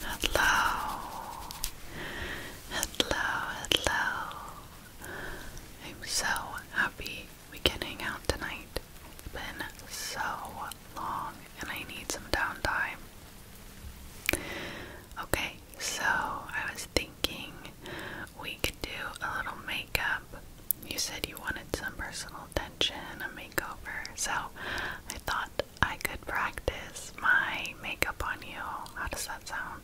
Hello, hello, hello. I'm so happy we can hang out tonight. It's been so long and I need some downtime. Okay, so I was thinking we could do a little makeup. You said you wanted some personal attention, a makeover. So I thought I could practice my makeup on you. How does that sound?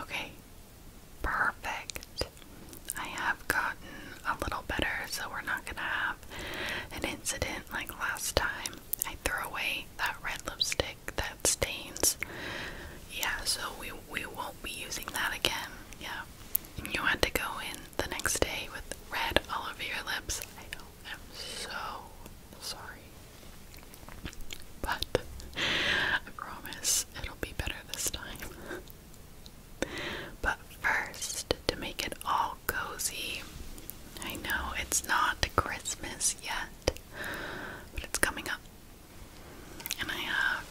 Okay, perfect. I have gotten a little better, so we're not gonna have an incident like last time. I threw away that red lipstick that stains. Yeah, so we we won't be using that again. Yeah. you had to go in the next day with red all over your lips. I know. I'm so sorry. But I promise it'll be better this time. but first, to make it all cozy, I know it's not Christmas yet, but it's coming up. And I have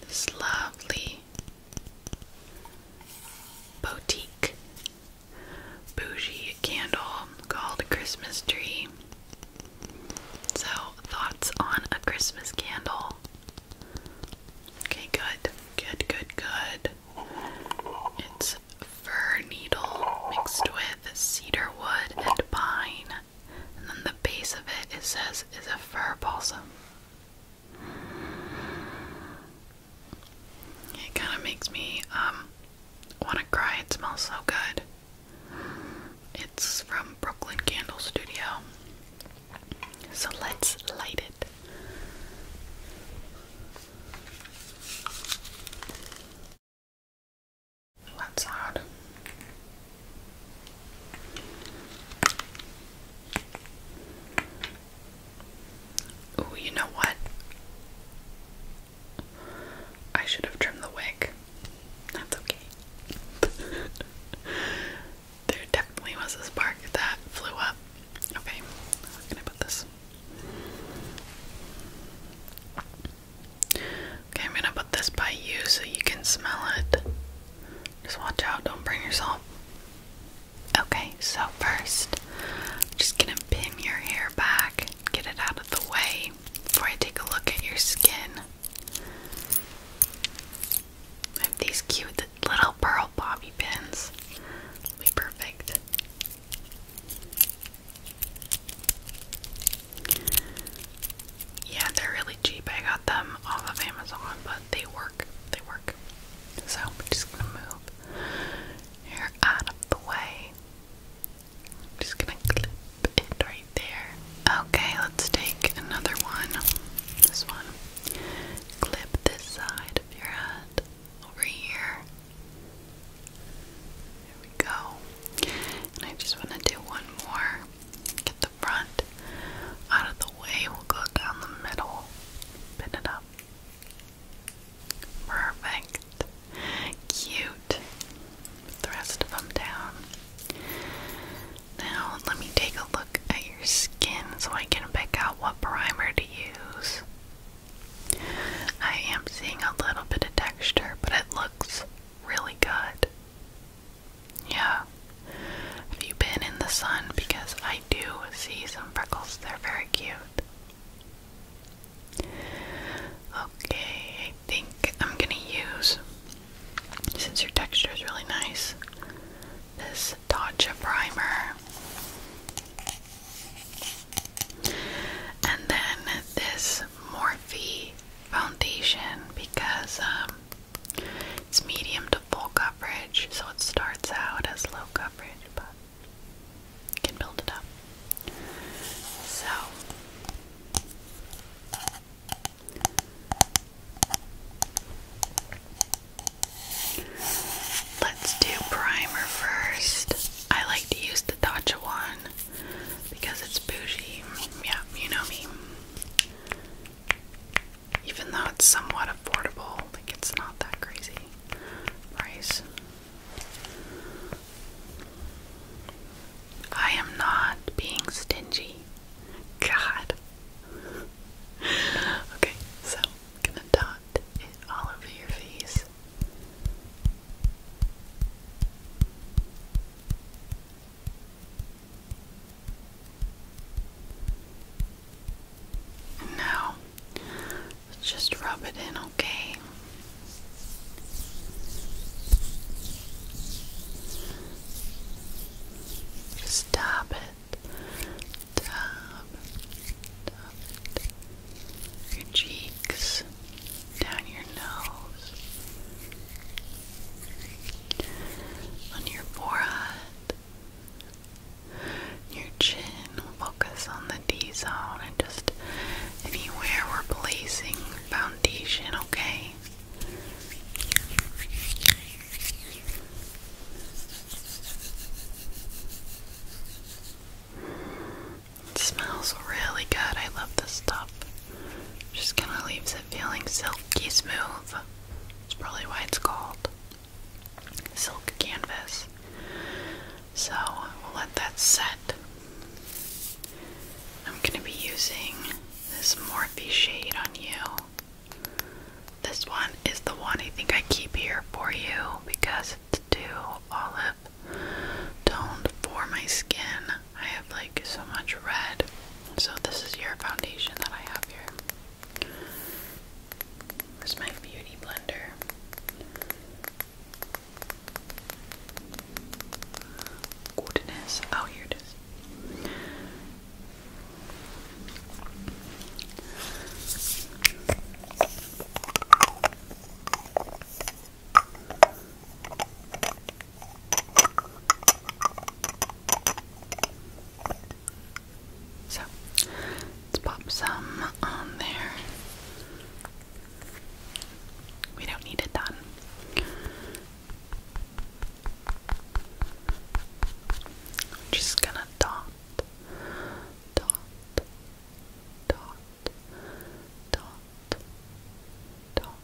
this lovely boutique bougie candle called Christmas Tree. So, thoughts on a Christmas candle? Okay, good, good, good, good. It's fir needle mixed with cedar wood and pine. And then the base of it, it says, is a fir balsam. It kind of makes me um, want to cry. It smells so good. It's from Brooklyn Candle Studio. So let's light it. That's hard. Oh, you know what? I should have trimmed the wig. That's okay. there definitely was a spark that flew up. Okay, I'm going put this Okay, I'm gonna put this by you so you can smell it. Just watch out, don't burn yourself. Okay, so 1st just gonna pin your hair back, get it out of the way before I take a look at your skin. these cute little pearl bobby pins. will be perfect. Yeah, they're really cheap. I got them off of Amazon, but they work. They work. So we're just gonna move here out of the way. I'm just gonna clip it right there. Okay, let's take another one. This one. Clip this side of your head over here. There we go. And I just want to do one more. Get the front out of the way. We'll go down the middle. Pin it up. Perfect. Cute. the rest of them down. Now, let me take a look at your skin so I can pick out what primer to use. I am seeing a little bit of texture, but it looks really good. Yeah. Have you been in the sun? Because I do see some freckles. They're very cute. Okay, I think I'm gonna use, since your texture is really nice, this Tatcha primer. And then this Morphe foundation because um, it's medium to full coverage, so it starts out as low coverage, but can build it up. So. Let's do primer first. I like to use the Tatcha one because it's bougie. Yeah, you know me. Even though it's somewhat affordable, like it's not that crazy price. I am not being stingy. God. okay, so gonna dot it all over your face. now, just rub it in, okay? Just it your cheeks, down your nose, on your forehead, your chin. Focus on the D zone and just anywhere we're placing foundation, okay? It smells really good. I love this stuff. Just kind of leaves it feeling silky smooth. That's probably why it's called silk canvas. So we'll let that set. I'm gonna be using this Morphe shade on you. This one is the one I think I keep here for you because to do olive toned for my skin. I have like so much red. So this is your foundation that I have here. This is my beauty blender. Goodness. Oh, here it is. So let's pop some on there. We don't need it done. just gonna dot dot, dot, dot, dot,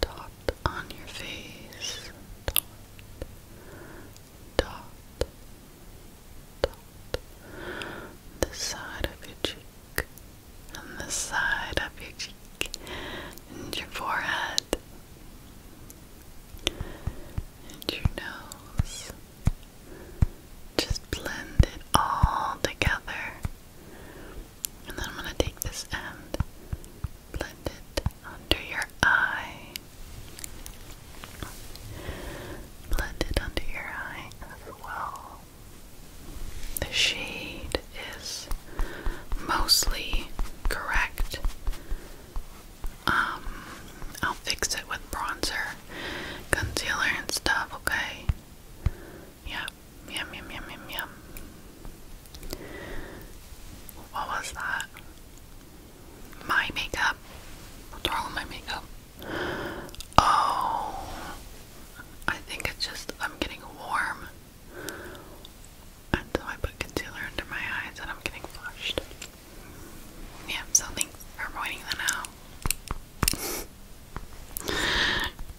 dot on your face, dot, dot, dot, the side of your cheek, and the side of your cheek, and your forehead, and your nose. Just blend it all together. And then I'm going to take this end, blend it under your eye. Blend it under your eye as well. The shade is mostly correct. Um, I'll fix it with bronzer, concealer, and stuff, okay? Yep, yum, yum, yum, yum, yum. What was that? My makeup? What's wrong with my makeup? Oh, I think it's just I'm getting warm. And I put concealer under my eyes and I'm getting flushed. Yeah, so thanks for pointing that out.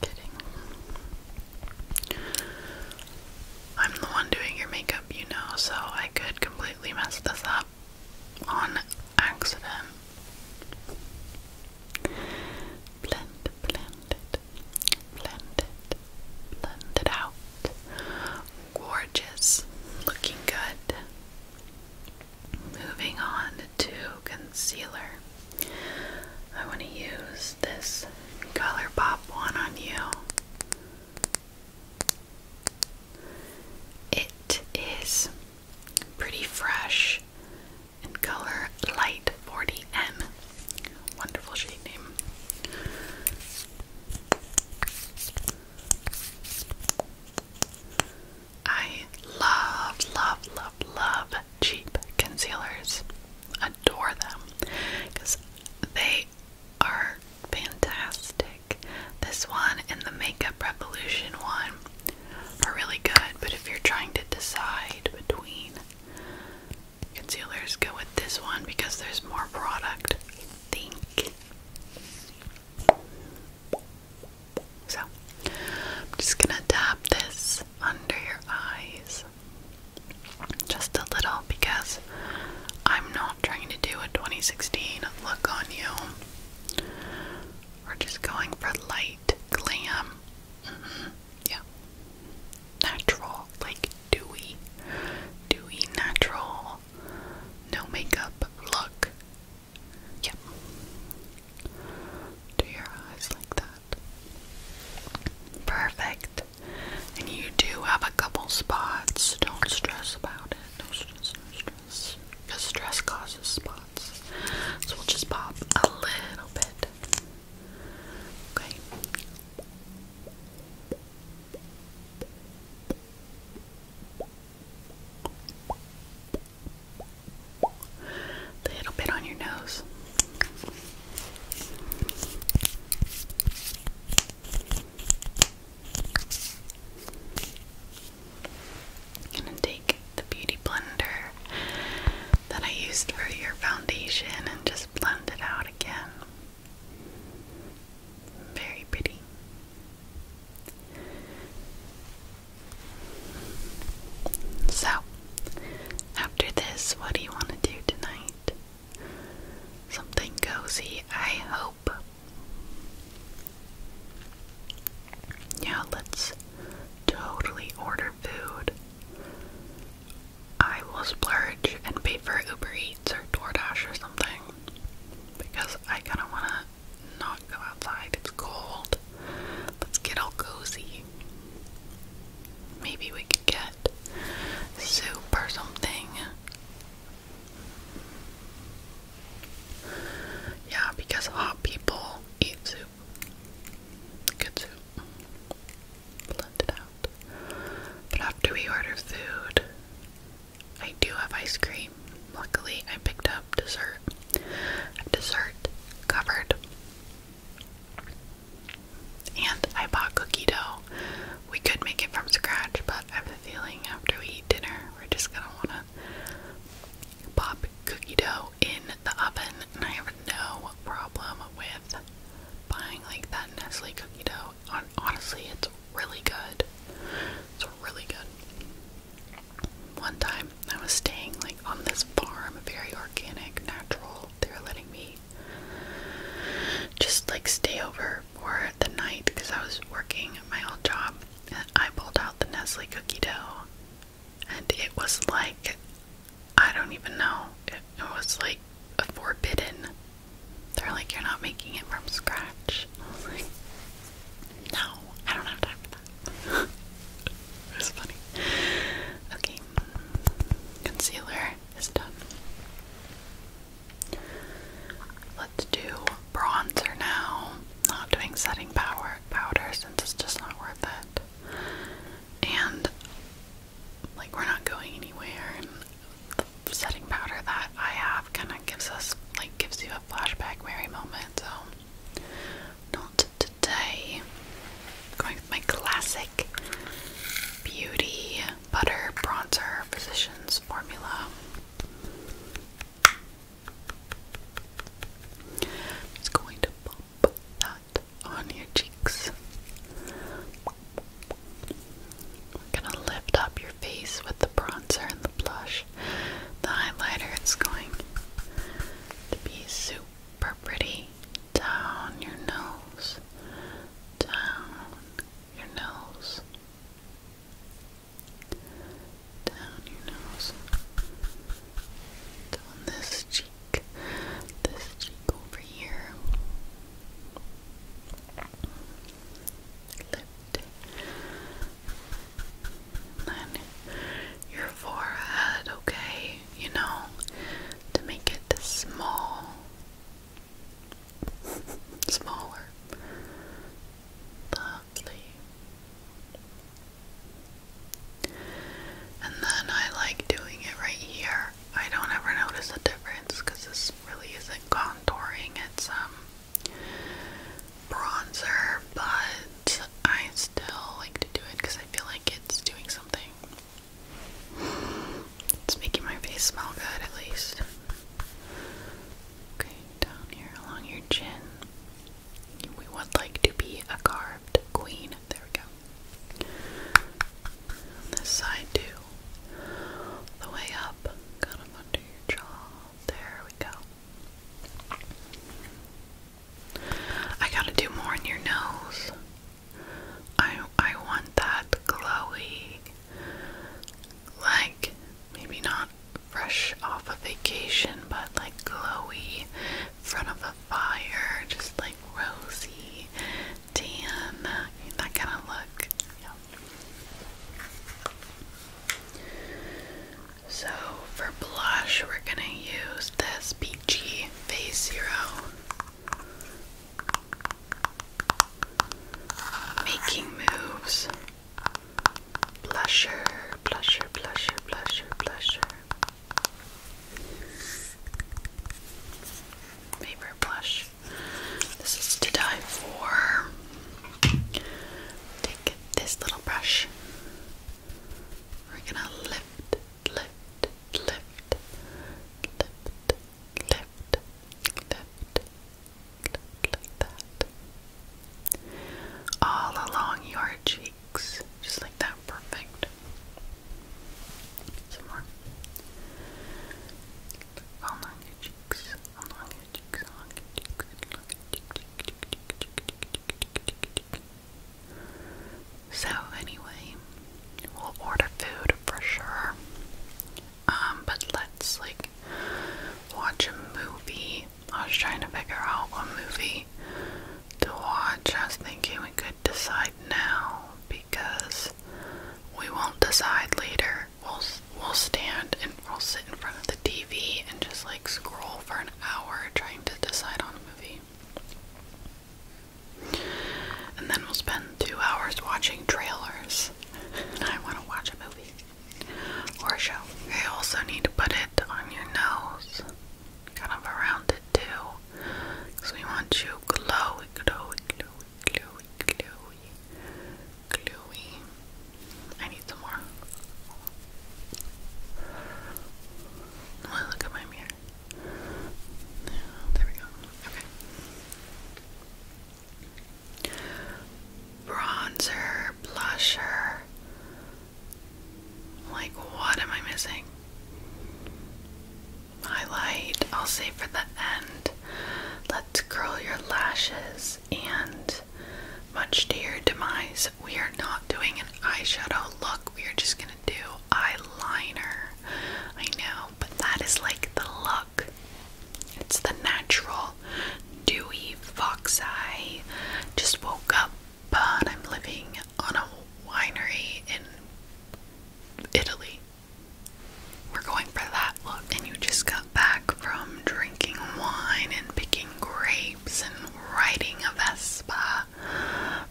Kidding. I'm the one doing your makeup, you know, so I could completely mess this up on accident. Blend, blend it, blend it, blend it out. Gorgeous. Looking good. Moving on to concealer. I want to use this ColourPop one on you. It is pretty fresh in color Light 40N. Wonderful shade name. I love, love, love, love cheap concealers. Adore them because they are fantastic. This one and the Makeup Revolution one are really good, but if you're trying to decide between concealers, go with this one because there's more product, think. So, I'm just gonna tap this under your eyes just a little because I'm not trying to do a 2016 look on you. We're just going for light, glam, mm-hmm. yeah, natural, like dewy, dewy, natural no makeup look. Yep. Do your eyes like that. Perfect. And you do have a couple spots. Don't stress about it. No stress, no stress. Because stress causes spots. So we'll just pop a little bit. Okay. A little bit on your nose. I'm gonna take the beauty blender that I used for your foundation and just blend it out again. Very pretty. So, after this, what do you want to do tonight? Something cozy, I hope. Yeah, let's totally order food. I will splurge and pay for Uber Eats or DoorDash or something because I kind of want to not go outside. It's cold. Let's get all cozy. Maybe we could get soup or something. Yeah, because hot people eat soup. Good soup. Blend out. But after we order food, I do have ice cream. Luckily, I picked up dessert. Dessert covered. And I bought cookie dough. We could make it from scratch, but I have a feeling after we eat dinner, we're just gonna wanna pop cookie dough in the oven. And I have no problem with buying like that Nestle cookie dough honestly, it's really good. It's really good. One time I was staying like on this farm, very organic, natural. They were letting me just like stay over for the night because I was working my old job. And I pulled out the Nestle cookie dough, and it was like I don't even know. it was like a forbidden they're like, you're not making it from scratch. no, I don't have time for that. it funny. Okay, concealer is done. Let's do bronzer now. Not doing setting power powder since it's just not worth it. And like we're not going anywhere setting powder that I have kind of gives us, like, gives you a flashback Mary moment. So, not today. I'm going with my classic Beauty Butter Bronzer Physicians Formula. just going to pop that on your cheeks. We're gonna lift up your face with the bronzer and the blush, the highlighter. is going to be super pretty down your nose, down your nose, down your nose, down this cheek, this cheek over here lift then your forehead, okay, you know, to make it small, smaller, lovely. And then I like doing it right here I don't ever notice a difference because this really isn't contouring, it's um bronzer, but I still like to do it because I feel like it's doing something. It's making my face smell good at least. Okay, down here along your chin. We would like to be a carved queen. There we go. this side too the way up, kind of under your jaw. There we go. I gotta do more in your nose. I I want that glowy, like maybe not fresh off a vacation, but like glowy, in front of a fire, just like rosy, tan, that kind of look. So for blush, we're gonna use this peachy face zero. Making moves. Blusher, blusher, blusher, blusher, blusher. Favorite blush. This is to die for. Take this little brush. We're gonna lift, lift, lift, lift, lift, lift, lift that. All along your cheeks, just like that. Perfect. Some more. So anyway, we'll order food for sure. Um, but let's like watch a movie. I was trying to figure out what movie to watch. I was thinking we could decide now because we won't decide later. We'll we'll stand and we'll sit in front of the TV and just like scroll for an hour trying to decide on a movie. And then we'll spend two hours watching trailers. I want to watch a movie or show. You also need to put it on your nose, kind of around it too, because we want you glowy, glowy, glowy. Chloe, Chloe, Chloe. I need some more. Oh, look at my mirror. There we go. Okay. Bronzer, blusher. Like, what am I missing? highlight I'll save for the end. Let's curl your lashes and much to your demise, we are not doing an eyeshadow look. We are just going to do eyeliner. I know, but that is like the look. It's the natural, dewy fox eye. Just woke up, but I'm living on a winery in Italy. We're going for that look, and you just got back from drinking wine and picking grapes and riding a Vespa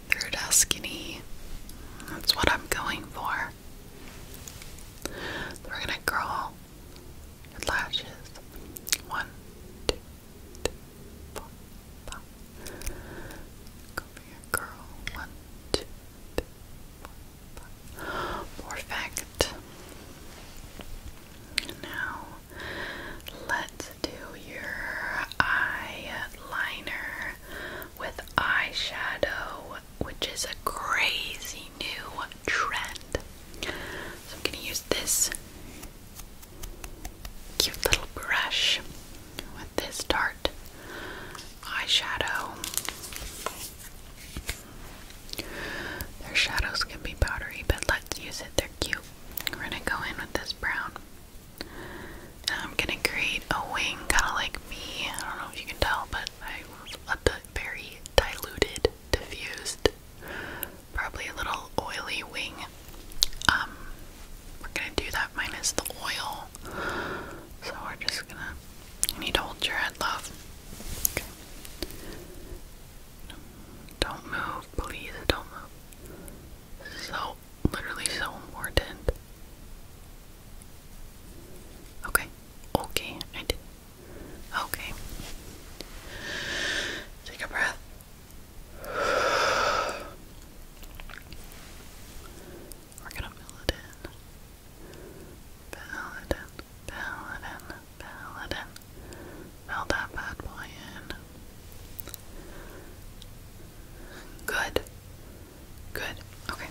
through Tuscany. That's what I'm going for. We're gonna curl your lashes. One, two, three, four, five. Go your curl. One, two, three, Morphact. Now, let's do your eyeliner with eyeshadow, which is a crazy new trend. So, I'm going to use this cute little brush with this Tarte eyeshadow. Their shadows can be powdery, but let's use it. They're cute. We're gonna go in with this brown. I'm gonna create a wing, kinda like me. I don't know if you can tell, but I a very diluted, diffused, probably a little oily wing. Um, we're gonna do that minus the oil. So we're just gonna. You need to hold your head, love. Okay. Don't move, please. Don't move. So, literally, so important. Okay. Okay, I did. Okay. Take a breath. We're gonna fill it in. Fill it in. Fill it in. Fill that bad boy in. Good. Good. Okay.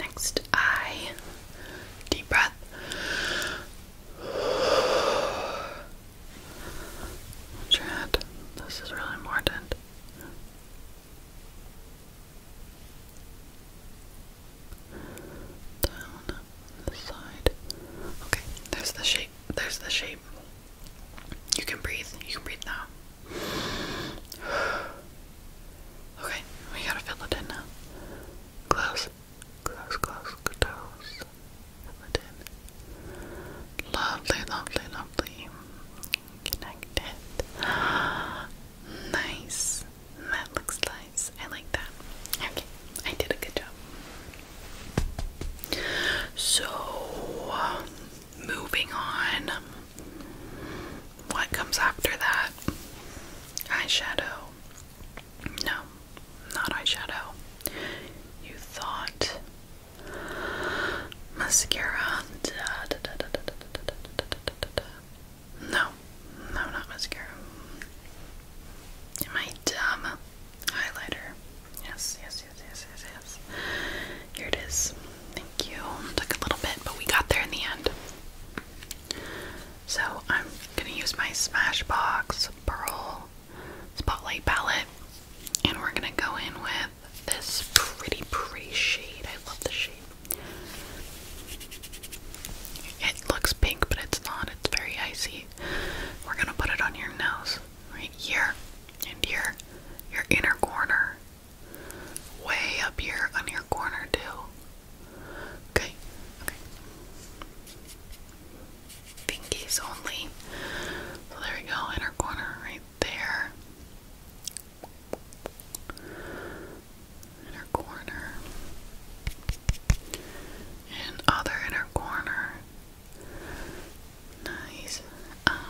Next, I deep breath. Chat, this is really important. Down the side. Okay, there's the shape. There's the shape. You can breathe. You can breathe now. Okay, we gotta fill it in now. Close, close, close, close. Fill it Lovely, lovely, lovely connected. Nice. That looks nice. I like that. Okay, I did a good job. So, moving on. What comes after that? Eyeshadow. No, not eyeshadow. You thought mascara. No, no, not mascara. My dumb highlighter. yes, yes, yes, yes, yes. Here it is. Thank you. Took a little bit, but we got there in the end. So I'm gonna use my Smashbox Pearl Spotlight palette, and we're gonna go in with this pretty, pretty shade. I love the shade. It looks pink, but it's not. It's very icy. We're gonna put it on your nose, right here, and here, your inner corner, way up here on your corner too. okay. Pinkies only. So there we go, inner corner right there. Inner corner. And other inner corner. Nice. Um,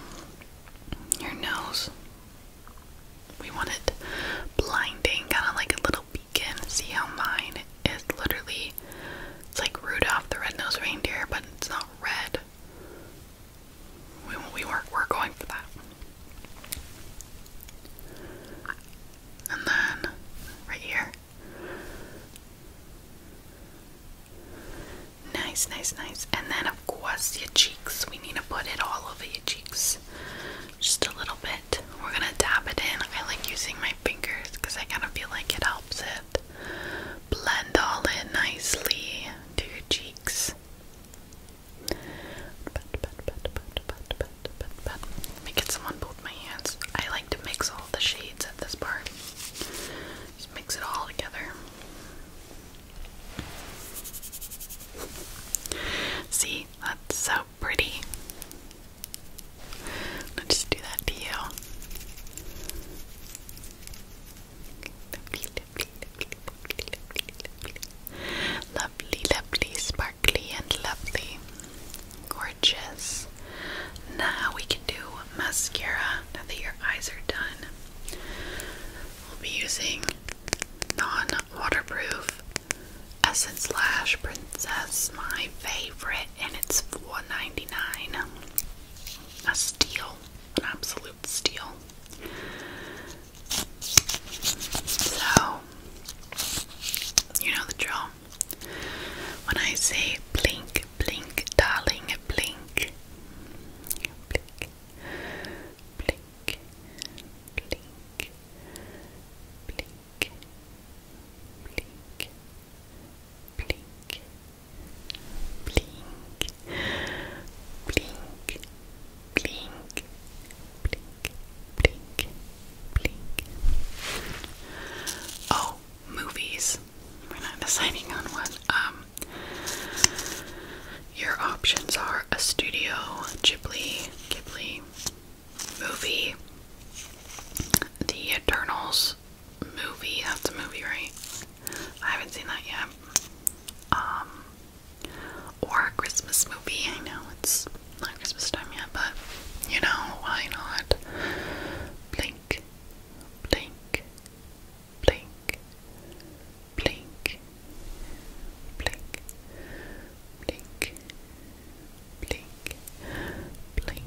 your nose. We want it blinding, kind of like a little beacon. See how mine is literally, it's like Rudolph the Red-Nosed Reindeer, but it's not red. We, we were, we're going for that. And then, right here. Nice, nice, nice. And then, of course, your cheeks. We need to put it all over your cheeks. Just a little bit. We're gonna dab it in. I like using my fingers because I kind of feel like it helps it blend all in nicely to your cheeks. Let me get some on both my hands. I like to mix all the shades at this part. Just mix it all together. See, that's so pretty. I'll just do that to you lovely, lovely, sparkly, and lovely. Gorgeous. Now we can do mascara now that your eyes are done. We'll be using non waterproof Essence Lash Princess, my favorite, and it's $4.99. A steal, an absolute steel. So, you know the drill. When I say blink, blink, darling, blink, blink, blink, blink, blink, blink, blink, blink, blink, blink, blink, blink, blink. Oh, movies. We're not deciding on what. Um, your options are a studio, Ghibli, Ghibli movie, The Eternals, movie. That's a movie, right? I haven't seen that yet. Um, or a Christmas movie. I know it's not Christmas time yet, but you know, why not? Blink, blink, blink, blink, blink, blink, blink, blink, blink,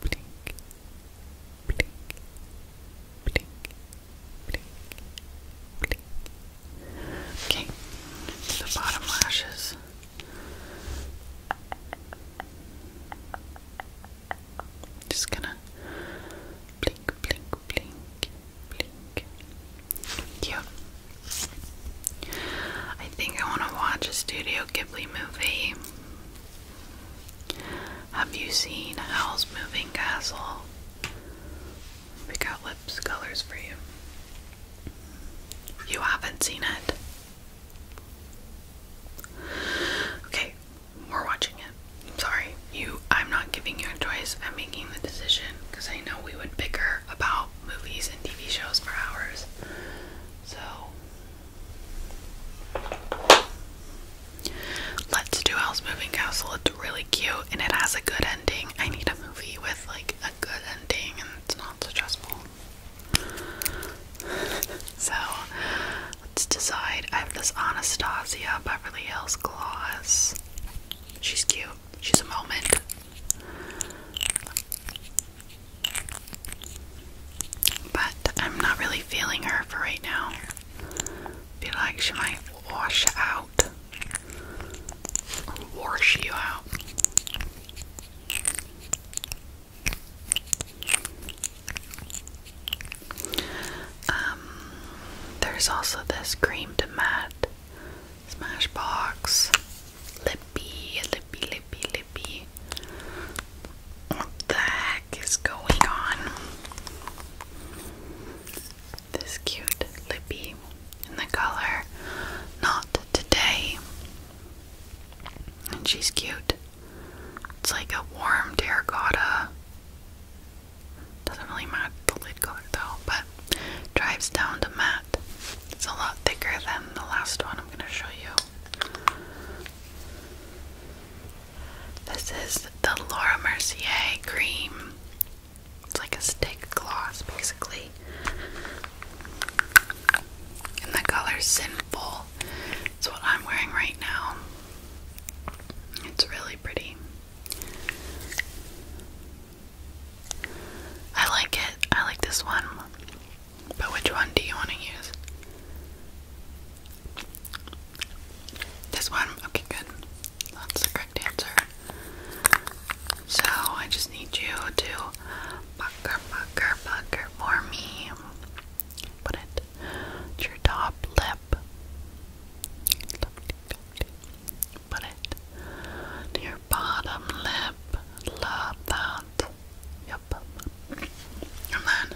blink, blink, blink, blink, blink. Okay, the bottom lashes. Just gonna blink, blink, blink, blink. Yeah. I think I want to watch a Studio Ghibli movie. Have you seen Howl's Moving Castle? We got lips colors for you. You haven't seen it. Okay, we're watching it. I'm sorry. You I'm not giving you a choice. I'm making the decision because I know we would bicker about movies and TV shows for hours. So Let's do House Moving Castle. It's really cute and it has a good ending. I need a movie with like a good ending and it's not stressful. so let's decide. I have this Anastasia Beverly Hills gloss. She's cute. She's a moment. But I'm not really feeling her for right now. Feel like she might wash out wash you out. Um, there's also this cream to matte Smashbox Lippy, Lippy, Lippy, lippy What the heck is going on? This cute lippy in the color Not Today. And she's cute. It's like a warm terracotta. Doesn't really match the lid color though, but drives down to matte. It's a lot thicker than the last one I'm going to show you. This is the Laura Mercier cream. It's like a stick gloss, basically. And the color Sinful. It's what I'm wearing right now. It's really pretty. I like it. I like this one. But which one do you want to use? This one? Okay, good. That's the correct answer. So I just need you to pucker, pucker, pucker for me. Put it to your top lip. Put it to your bottom lip. Love that. Your and then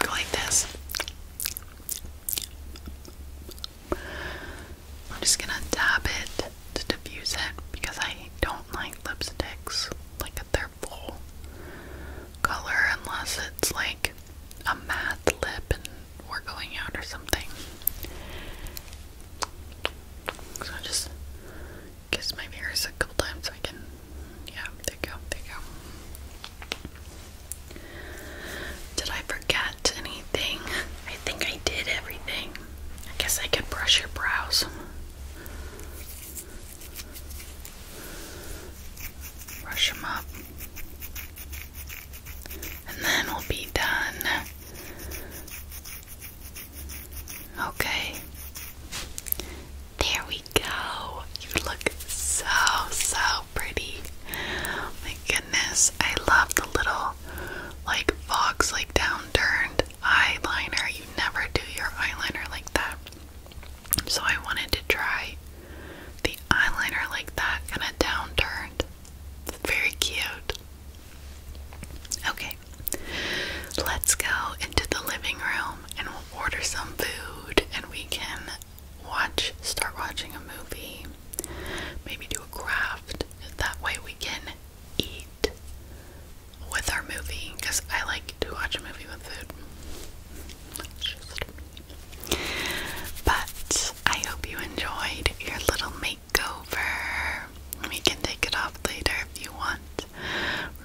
go like this. I'm just gonna dab it to diffuse it because I don't like lipsticks like a their full color unless it's like a matte lip and we're going out or something. So I just kiss my mirrors a couple times so I can, yeah, there you go, there you go. Did I forget anything? I think I did everything. I guess I could brush your brows. Brush them up and then we'll be done. Okay. There we go. You look so, so pretty. my goodness. I love the little, like, fox, like, downturned eyeliner. You never do your eyeliner like that. So I wanted to try the eyeliner like that, kind of downturned. Very cute. Okay, let's go into the living room and we'll order some food and we can watch, start watching a movie, maybe do a craft. That way we can eat with our movie because I like to watch a movie with food. but I hope you enjoyed your little making makeover. We can take it off later if you want.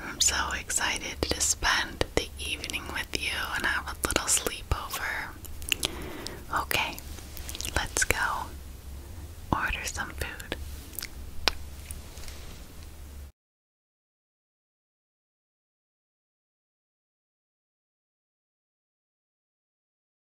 I'm so excited to spend the evening with you and have a little sleepover. Okay, let's go order some food.